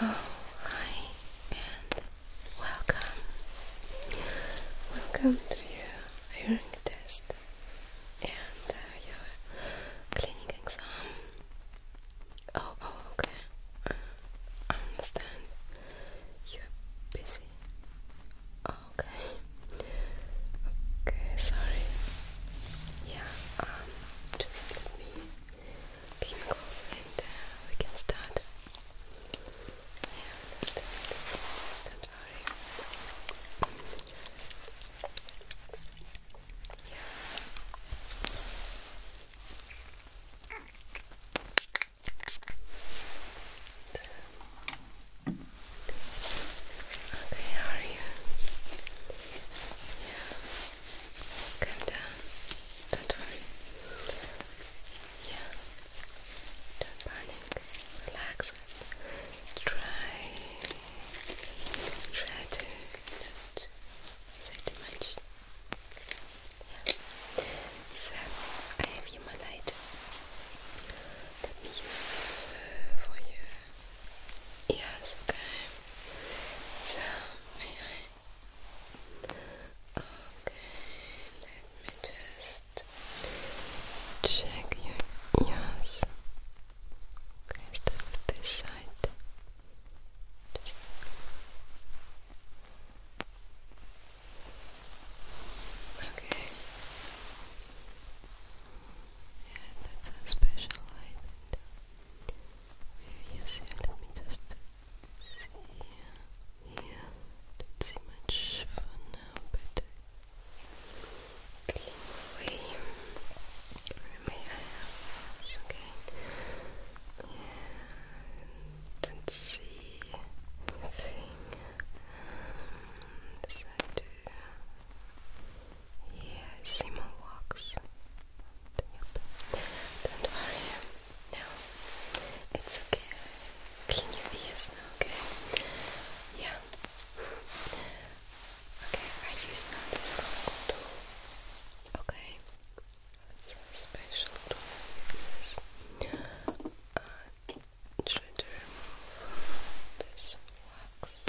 Oh, hi and welcome. Welcome to your hearing test and uh, your clinic exam. Oh, oh, okay. Uh, I understand. You're busy. Okay. Okay, sorry. Yeah. Um, just let me clean close and we can start. I understand. Okay, are you? Yeah. Come down. Don't worry. Yeah. Don't panic. Relax. Try. Try to not say too much. Yeah. So I have you my light. Let me use this uh, for you. Yes, okay. So, may I? Okay, let me just check your ears. Okay, start this side. Okay. Yeah, that's a special light. you see, let me just see. Yeah, don't see much for now, but clean away. I have this Yeah, don't see anything. Um, yeah, Simon walks. Don't worry. No, it's okay. Clean your ears now, okay? Yeah. Okay, I use now this tool. Okay, it's a special tool I to uh, remove this wax.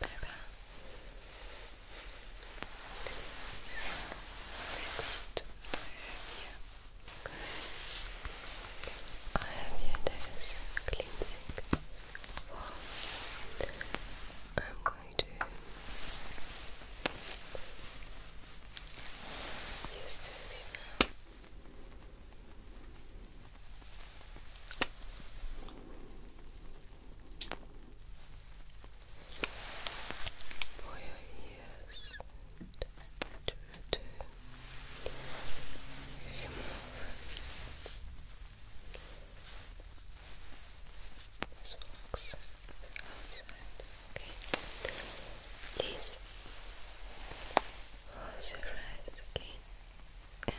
better. So next I have here this cleansing form. I'm going to use this for your ears to return. This works outside. Okay. Please close your eyes again and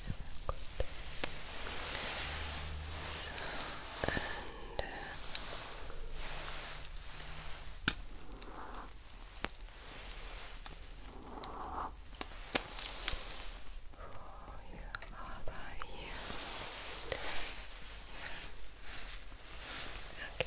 So, and for your other ear. Yeah. Okay.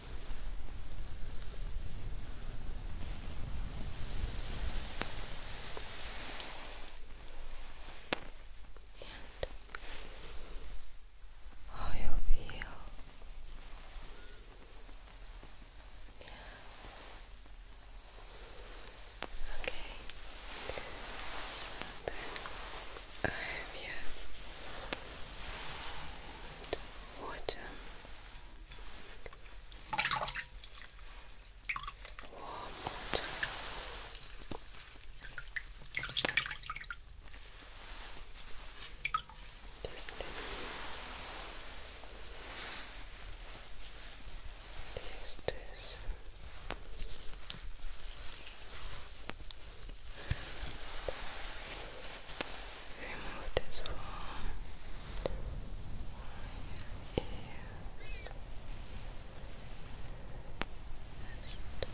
and how you feel. Okay. So then I have here water there's this. There's Remove this one from your ears. like that. So, Good.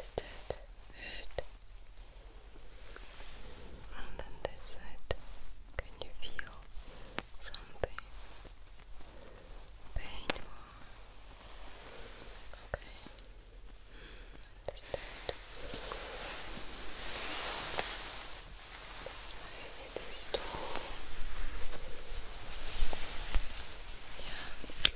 Is that good? And on this can you feel something painful? Okay, understand. So, maybe this Yeah.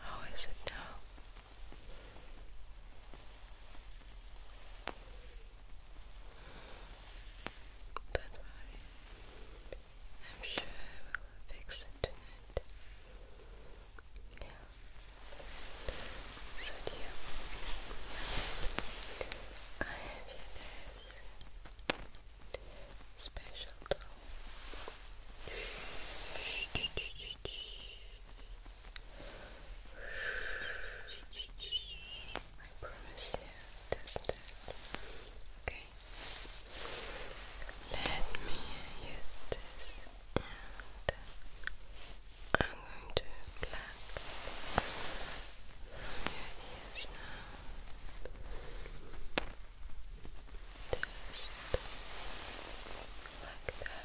how is it now? Don't worry, I'm sure I will fix it tonight. Yeah. So dear, I have this special doll. I promise you, doesn't it? Okay. Let me use this and I'm going to black your ears now. Just like that.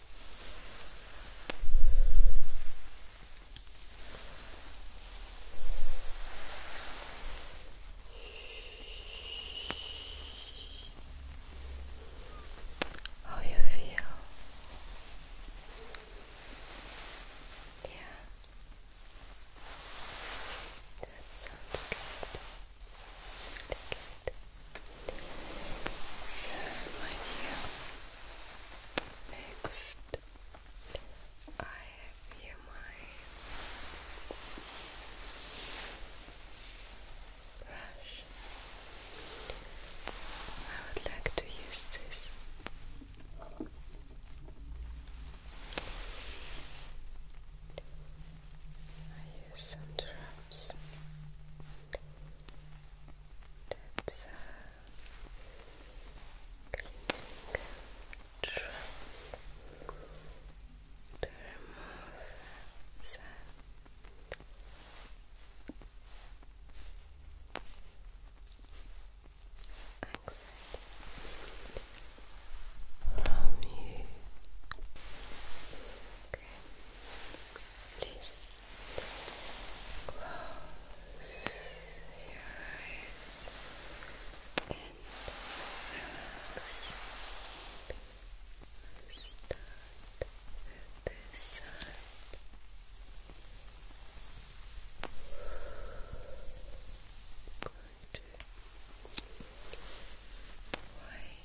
How you feel? Yeah. That sounds good. Really good. So, my dear, Next, I have here my brush. I would like to use this. I use some drops. That's uh, Cleansing to remove sand. From you. Okay. Please Close your eyes and relax. Start with this side. Good. White.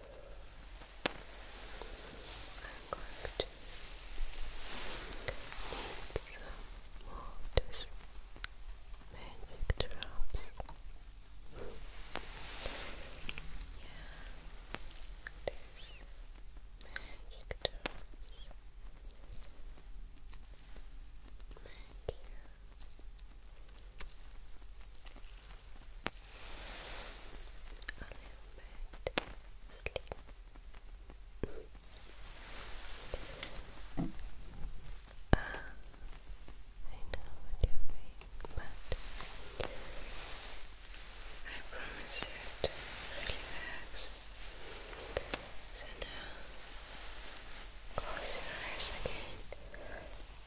I'm going to need some more magic drops. Yeah, these magic drops make you I know what you're but I promise you to relax. So now, close your eyes again.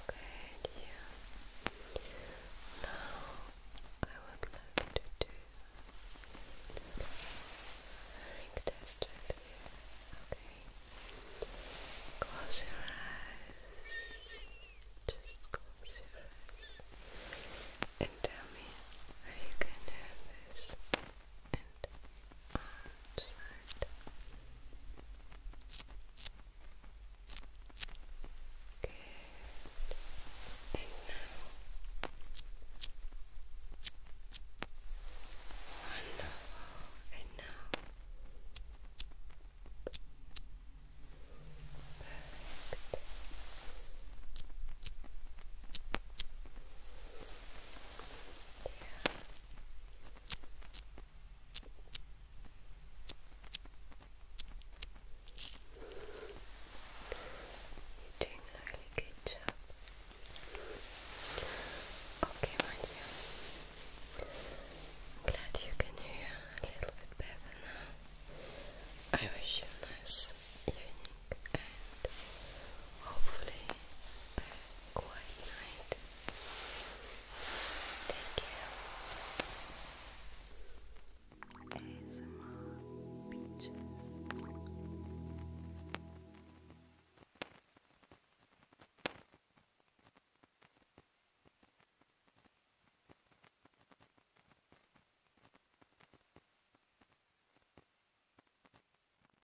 Okay, dear. Now I would like to do a ring test with you. Okay. Close your eyes. Just close your eyes. And tell me how you can do this and outside. Good. And now, wonderful. And now, perfect. Yeah. You're doing a really good job. Okay, my dear. glad you can hear a little bit better now. I wish you a nice evening and hopefully quiet night. Take care. ASMR Beaches.